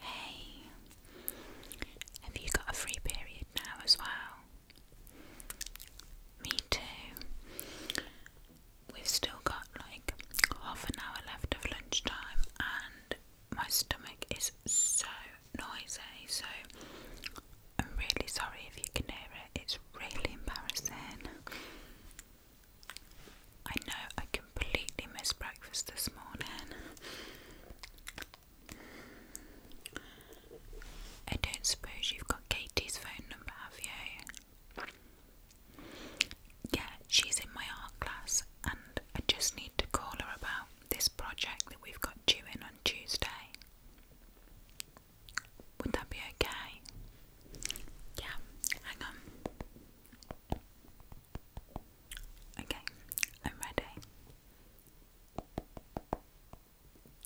Hey, have you got a free period now as well? Me too. We've still got like half an hour left of lunchtime, and my stomach is so noisy, so I'm really sorry if you can hear it, it's really embarrassing. I know I completely missed breakfast this morning. I don't suppose you've got Katie's phone number, have you? Yeah, she's in my art class, and I just need to call her about this project that we've got due in on Tuesday. Would that be okay? Yeah, hang on. Okay, I'm ready.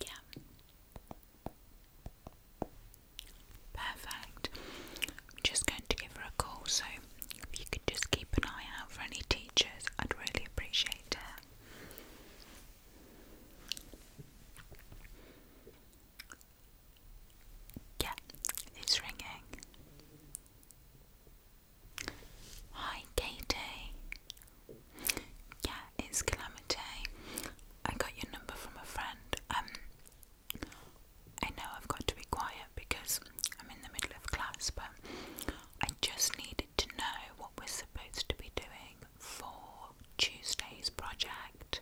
Yeah. Perfect. just going to give her a call, so if you could just keep an eye out for any teachers, I'd really appreciate it. Yeah, it's ringing. Hi, Katie. Yeah, it's Calamity. I got your number from a friend. Um, I know I've got to be quiet because I'm in the middle of class, but I just needed to know what we're supposed to be doing for Tuesday's project.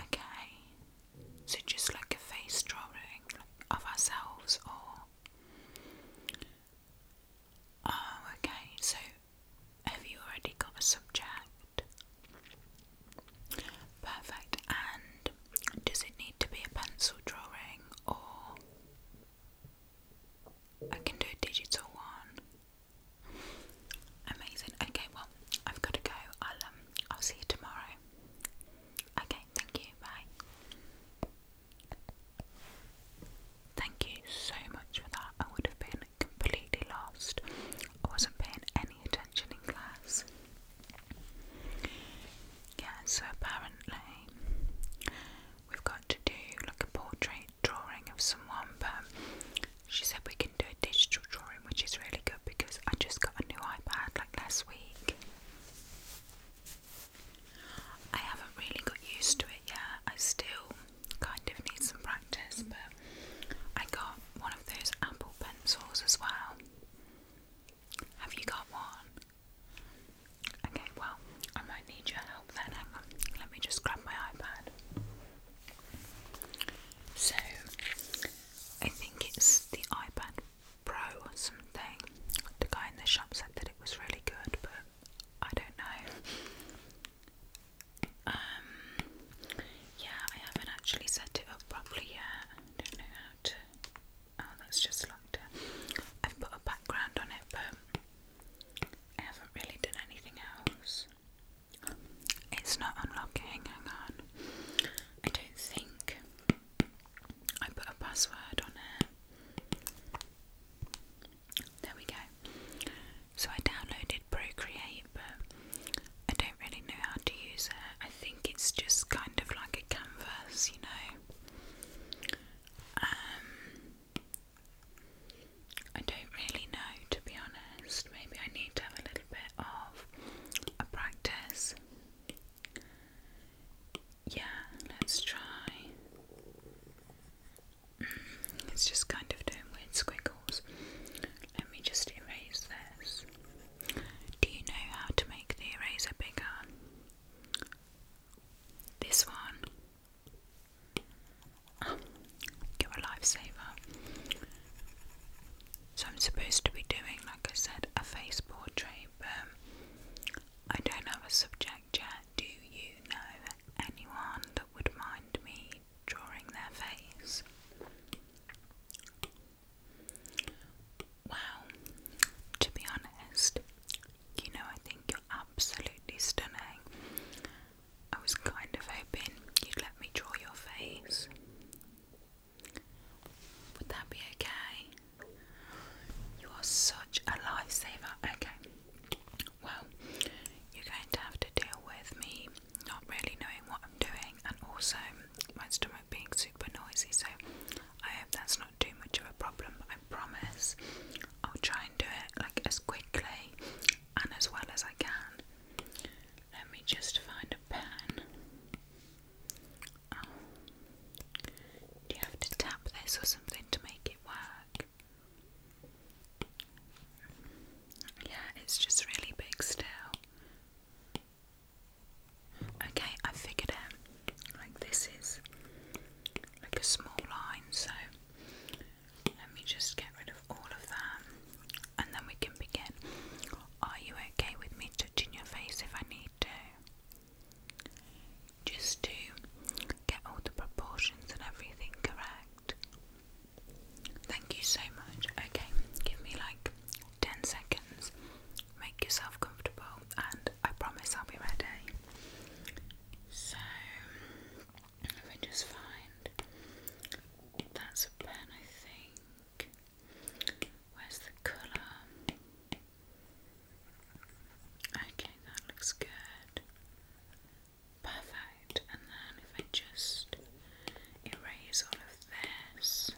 Okay, so just like a face drawing of ourselves, or. Oh, okay, so have you already got a subject? Perfect, and does it need to be a pencil drawing or. I can do a digital one. Amazing. Okay, well, I've got to go. I'll um, I'll see you tomorrow. Okay, thank you. Bye. Thank you so much for that. I would have been completely lost. I wasn't paying any attention in class. Yeah, so apparently we've got to do like a portrait drawing of someone, but she said we can do a digital drawing, which is really good because I just got a new iPad like last week. I haven't really got used to it yet, I still kind of need some practice, but I got one of those Apple pencils as well. Have you got one? Okay, well, I might need your help then. Hang on. Let me just grab my iPad. So, I think it's the iPad Pro or something. The guy in the shop said that it was really good, but I don't know. Um, yeah, I haven't actually set it up properly yet. I don't know how to. Oh, that's just locked I've put a background on it, but I haven't really done anything else. It's not unlocking, hang on. I don't think I put a password on it. There we go. So I downloaded Procreate, but I don't really know how to use it. I think it's just kind of like a canvas, you know. Um, I don't really know to be honest. Maybe I need to have a little bit of a practice. Yeah, let's try. Mm, it's just kind of doing weird squiggles. Let me just erase this. Do you know how to make the eraser bigger? This one. Um, you're a lifesaver. So I'm supposed to be doing, like I said, a face portrait, but I don't have a subject yet. Do you know anyone that would mind me drawing their face? Wow, to be honest, you know, I think you're absolutely stunning. I was kind of hoping you'd let me draw your face. Would that be okay? You are such a lifesaver. Okay. Well, you're going to have to deal with me not really knowing what I'm doing and also my stomach being super noisy, so I hope that's not too much of a problem. I promise I'll try and do it like as quickly and as well as I can. Let me just find a pen. Oh. Do you have to tap this or something to make it work? Yeah, it's just really big still. Okay, I figured out. Like this is like a small line, so let me just get rid of all of that and then we can begin. Are you okay with me touching your face if I need to? Just to get all the proportions and everything correct. Thank you so much. Okay, give me like 10 seconds. Make yourself comfortable and I promise I'll be ready. So, if I just find that's a pen, I think. Where's the colour? Okay, that looks good. Perfect. And then if I just erase all of this,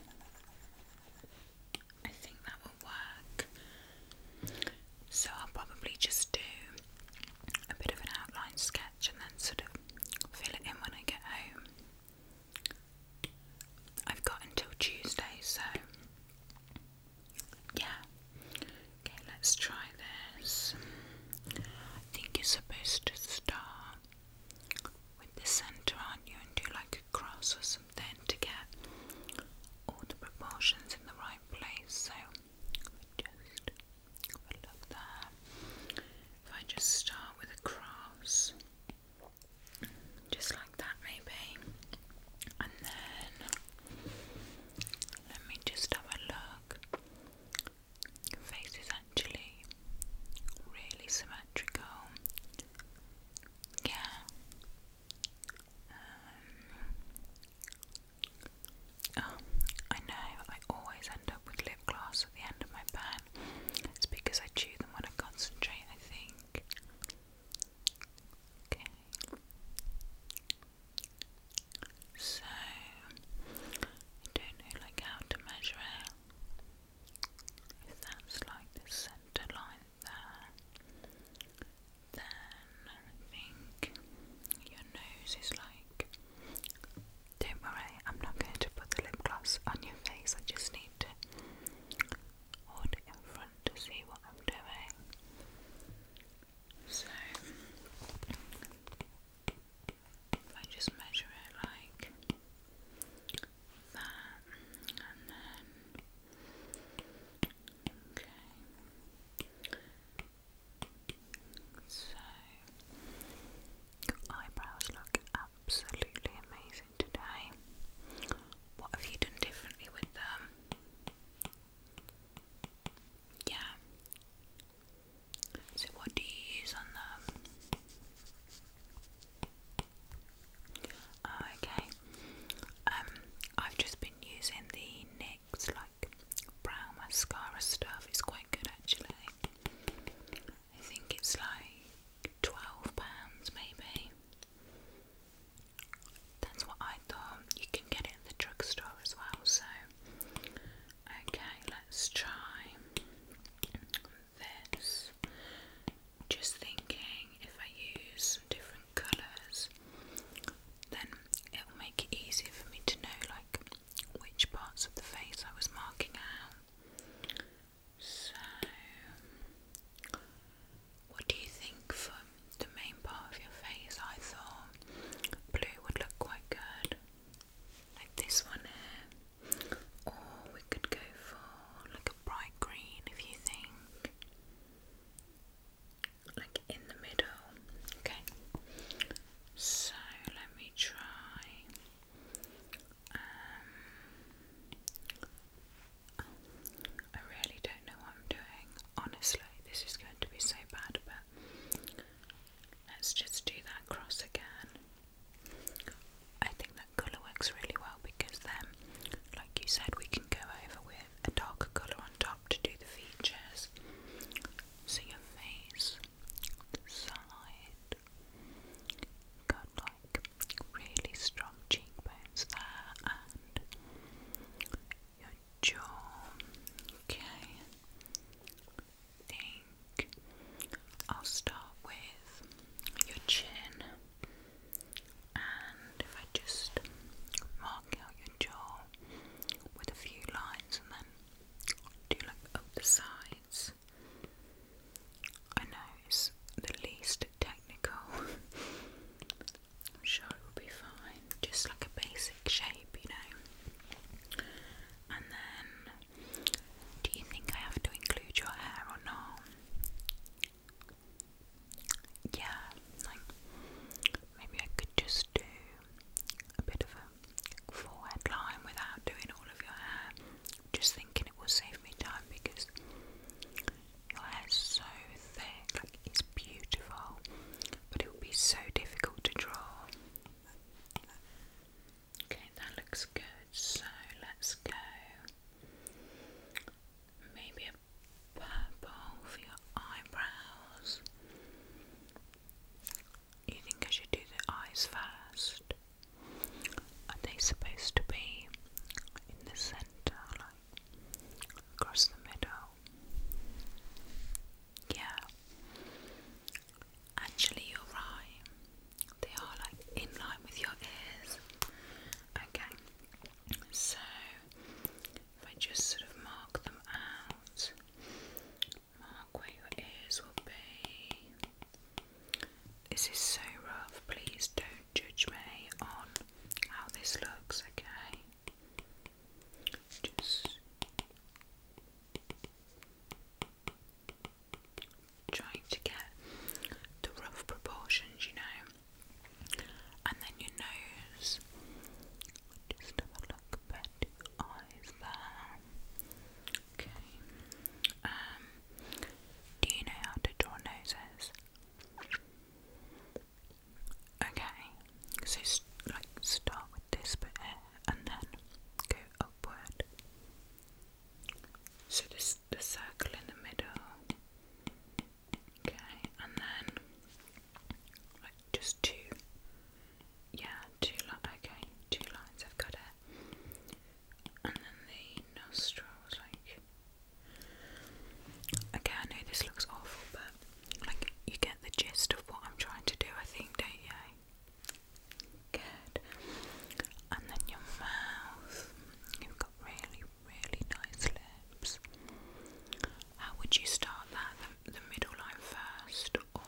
I think that will work. So I'll probably just do a bit of an outline sketch and then sort of fill it in when I get home. I've got until Tuesday, so yeah. Okay, let's try this. I think you're supposed to start with the center on you, and do like a cross or something to get all the proportions in the right place. So just if I just start with a cross, just like that, maybe, and then let me just have a look. Your face is actually really symmetrical. Yeah. Um, um, I know I always end up with lip gloss at the end of my pan. It's because I chew them when I concentrate, I think. So I don't know like how to measure it. If like the centre line there. Then I think your nose is like. Don't worry, I'm not going to put the lip gloss on your face. I just need to hold it in front to see what I'm doing. So I just measure it like that, and then okay, so, your eyebrows look absolutely amazing today. What have you done differently with them? Yeah. So, what do you use on them? Oh, okay. Um, I've just been using the NYX makes like brown mascara stuff. It's quite good actually. I think it's like twelve pounds maybe. That's what I thought. You can get it at the drugstore as well. So okay, let's try this. Just thinking if I use different colours then it will make it easier for me to know like which parts of the face I was marking out. So what do you think for the main part of your face? I thought blue would look quite good. Like this one here. Or we could go for like a bright green if you think like in the middle. Okay, so let me try. Um, I really don't know what I'm doing. Honestly, this is going to be so bad, but let's just do that cross again. I think that colour works really well because then, like you said, we can go over with a darker colour on top to do the features. So your face, the side, got like really strong cheekbones there and your jaw. Okay, think I'll start with your chin. And if I just mark out your jaw, with a few lines and then do like up the sides. I know it's the least technical. sure it will be fine. Just like a basic shape, you know. And then, do you think I have to include your hair or not? Yeah, like maybe I could just do a bit of a forehead line without doing all of your hair. Just thinking it will save me time because your hair's so thick, like it's beautiful, but it would be so difficult to draw. Okay, that looks good. So let's go. Maybe a purple for your eyebrows. You think I should do the eyes first? Are they supposed to be in the center, like across the middle? Yeah. Actually, you're right. They are like in line with your ears. Okay. So if I just sort of mark them out, mark where your ears will be. This is so rough, please don't judge me on how this looks, okay? Just trying to get the rough proportions, you know. And then your nose. Just have a look put your eyes there. Okay. Um, do you know how to draw noses? Okay. So like start with this bit here and then go upward. So this the circle in the middle. Okay, and then like just two, yeah, two li okay, two lines, I've got it. And then the nostrils, like, okay, I know this looks awful, but like, you get the gist of what I'm trying to do, I think, don't Good. And then your mouth. You've got really, really nice lips. How would you start that the middle line first or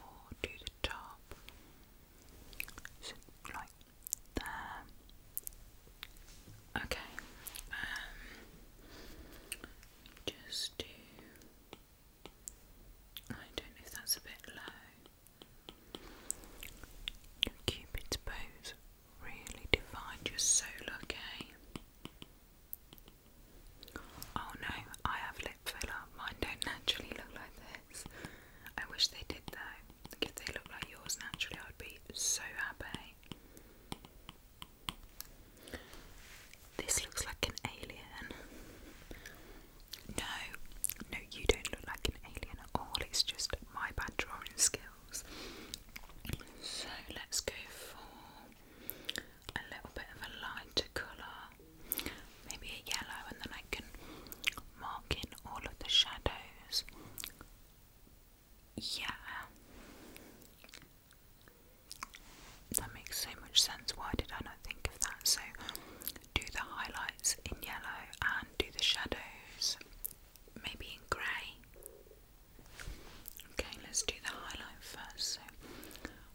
do the top? So like there. Okay. Um, just do I don't know if that's a bit low. cupid's bows really divide your soul, okay? Oh no, I have lip filler. Mine don't naturally look like this. I wish they did though. If they look like yours naturally, I'd be so happy. This looks like an alien. No, no, you don't look like an alien at all. It's just my bad drawing skills. So let's go for a little bit of a lighter colour, maybe a yellow, and then I can mark in all of the shadows. Yeah. That makes so much sense. Why did I not think of that? So, do the highlights in yellow and do the shadows maybe in grey. Okay, let's do the highlight first. So,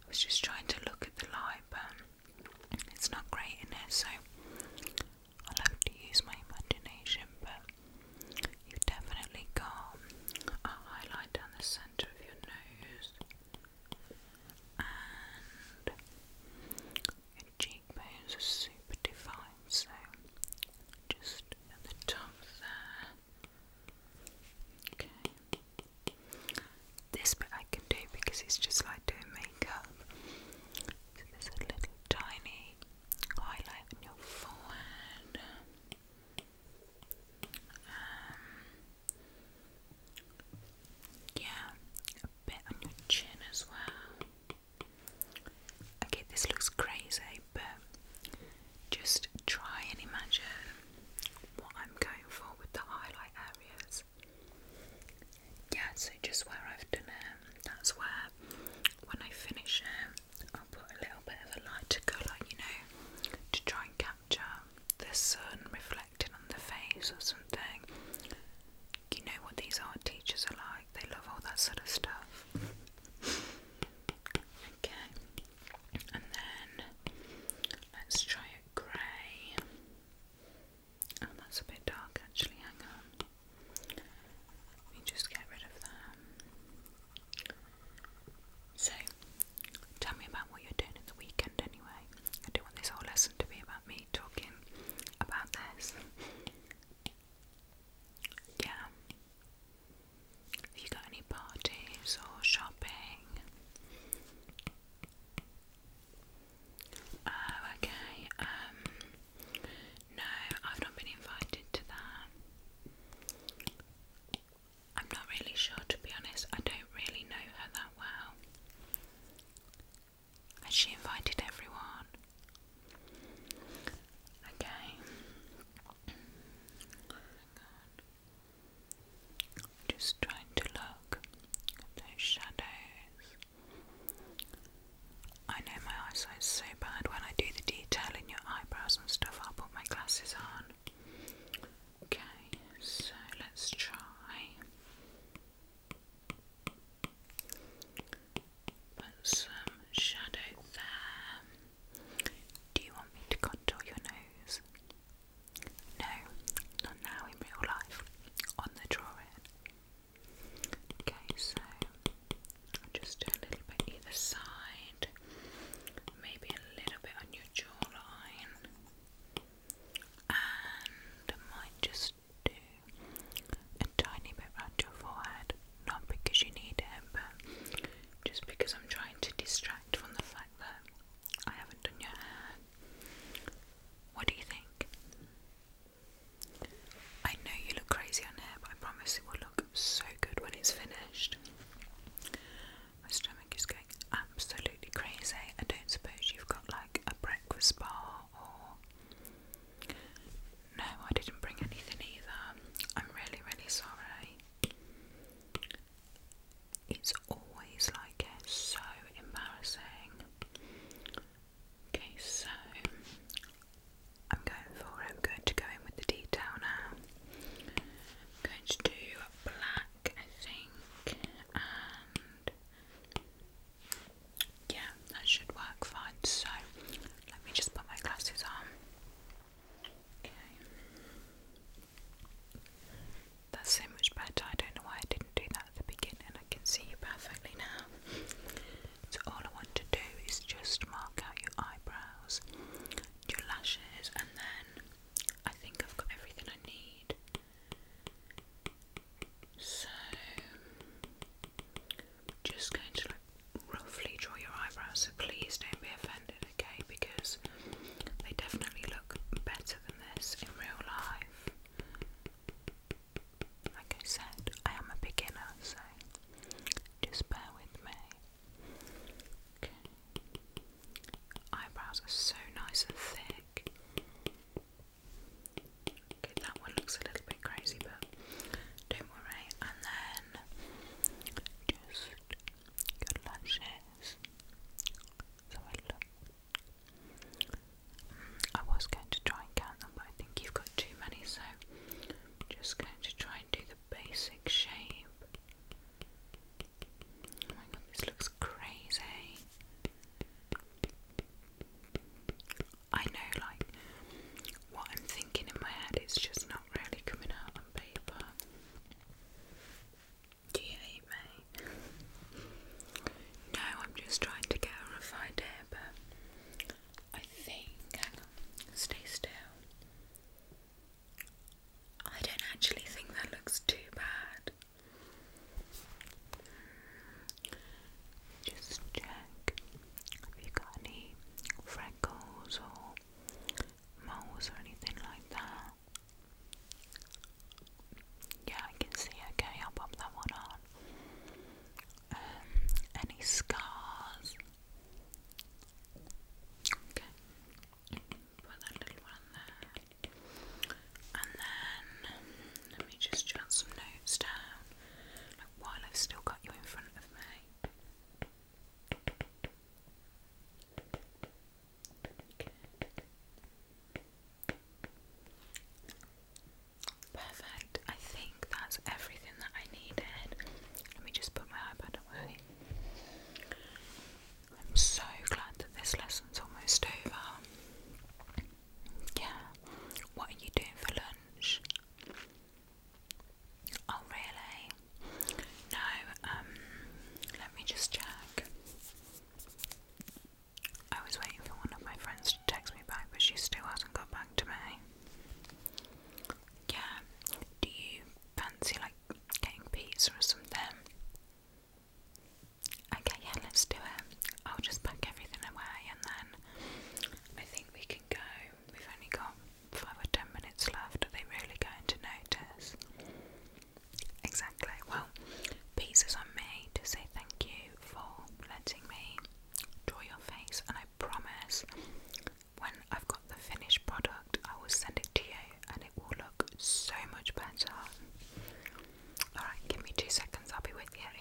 I was just trying to look at the light, but um, it's not great in it, so I'll have to use my imagination. But you definitely got a highlight down the centre of your nose and your cheekbones are super defined, so just at the top there. Okay. This bit I can do because it's just like doing makeup. So there's a little tiny highlight on your forehead. Um, yeah, a bit on your chin as well. Okay, this looks crazy, but just try and imagine what I'm going for with the highlight areas. Yeah, so just where I've done it, that's where when I finish it, I'll put a little bit of a lighter colour, you know, to try and capture the sun reflecting on the face or something. You know what these art teachers are like, they love all that sort of stuff. Okay and then let's try it grey. Oh, that's a bit dark actually. Hang on, let just get rid of that. So, tell me about what you're doing at the weekend anyway. I don't want this whole lesson to be about me talking about this. Yeah. Have you got any parties or shopping? Oh, okay. Um, no, I've not been invited to that. I'm not really sure, to be honest. I don't really know her that well. Has she invited everyone? Okay. Oh just trying to look at those shadows. I know my eyesight's so bad when I do the detail in your eyebrows and stuff, I'll put my glasses on. Okay, so let's try. Put some shadow there. Do you want me to contour your nose? No, not now in real life. On the drawing. Okay, so I'll just do a little bit either side, maybe a little bit on your jawline, and I might just do a tiny bit around your forehead, not because you need it, but just because I'm trying to distract from the fact I haven't done your hair. What do you think? I know you look crazy on hair, but I promise it will look so good when it's finished. My stomach is going absolutely crazy. I don't suppose you've got like a breakfast bar or. No, I didn't bring anything either. I'm really, really sorry it's always like it, so embarrassing. Okay, so I'm going for I'm going to go in with the detail now. I'm going to do black, I think, and yeah, that should work fine. So let me just put my glasses on. That's so much better. I don't know why I didn't do that at the beginning. I can see you perfectly now. So, all I want to do is just mark out your eyebrows, your lashes, and then I think I've got everything I need. So, just going to roughly draw your eyebrows, so please don't be offended okay? Because they definitely look better than this in real life. Like I said, I am a beginner, so just bear with me. Okay. Eyebrows are so nice and thick. Okay, that one looks a little bit crazy, but don't worry. And then just your lashes. So I was going to try and count them, but I think you've got too many, so am just going to try and do the basic shape. Oh my god, this looks crazy. I know, like, what I'm thinking in my head, it's just not really coming out on paper. Do you hate me? No, I'm just trying to get a rough idea, but I think. stay still. I don't actually think that looks too bad. Just check if you got any freckles or moles or anything like that. Yeah, I can see. Okay, I'll pop that one on. Um, any scars? Okay, put that little one there, and then let me just jot some notes down while I've still got you in front of me. Perfect. I think that's everything that I needed. Let me just put my iPad away. I'm so glad that this lesson's almost over. Yeah. What are you doing for lunch? Oh, really? No, um, let me just check. I was waiting for one of my friends to text me back, but she still hasn't got back to me. Yeah, do you fancy like getting pizza or something? Okay, yeah, let's do it. I'll just pack everything away and then I think we can go. We've only got five or ten minutes left, are they really going to notice? Exactly. Well, pieces on me to say thank you for letting me draw your face, and I promise when I've got the finished product, I will send it to you and it will look so much better. Alright, give me two seconds, I'll be with you.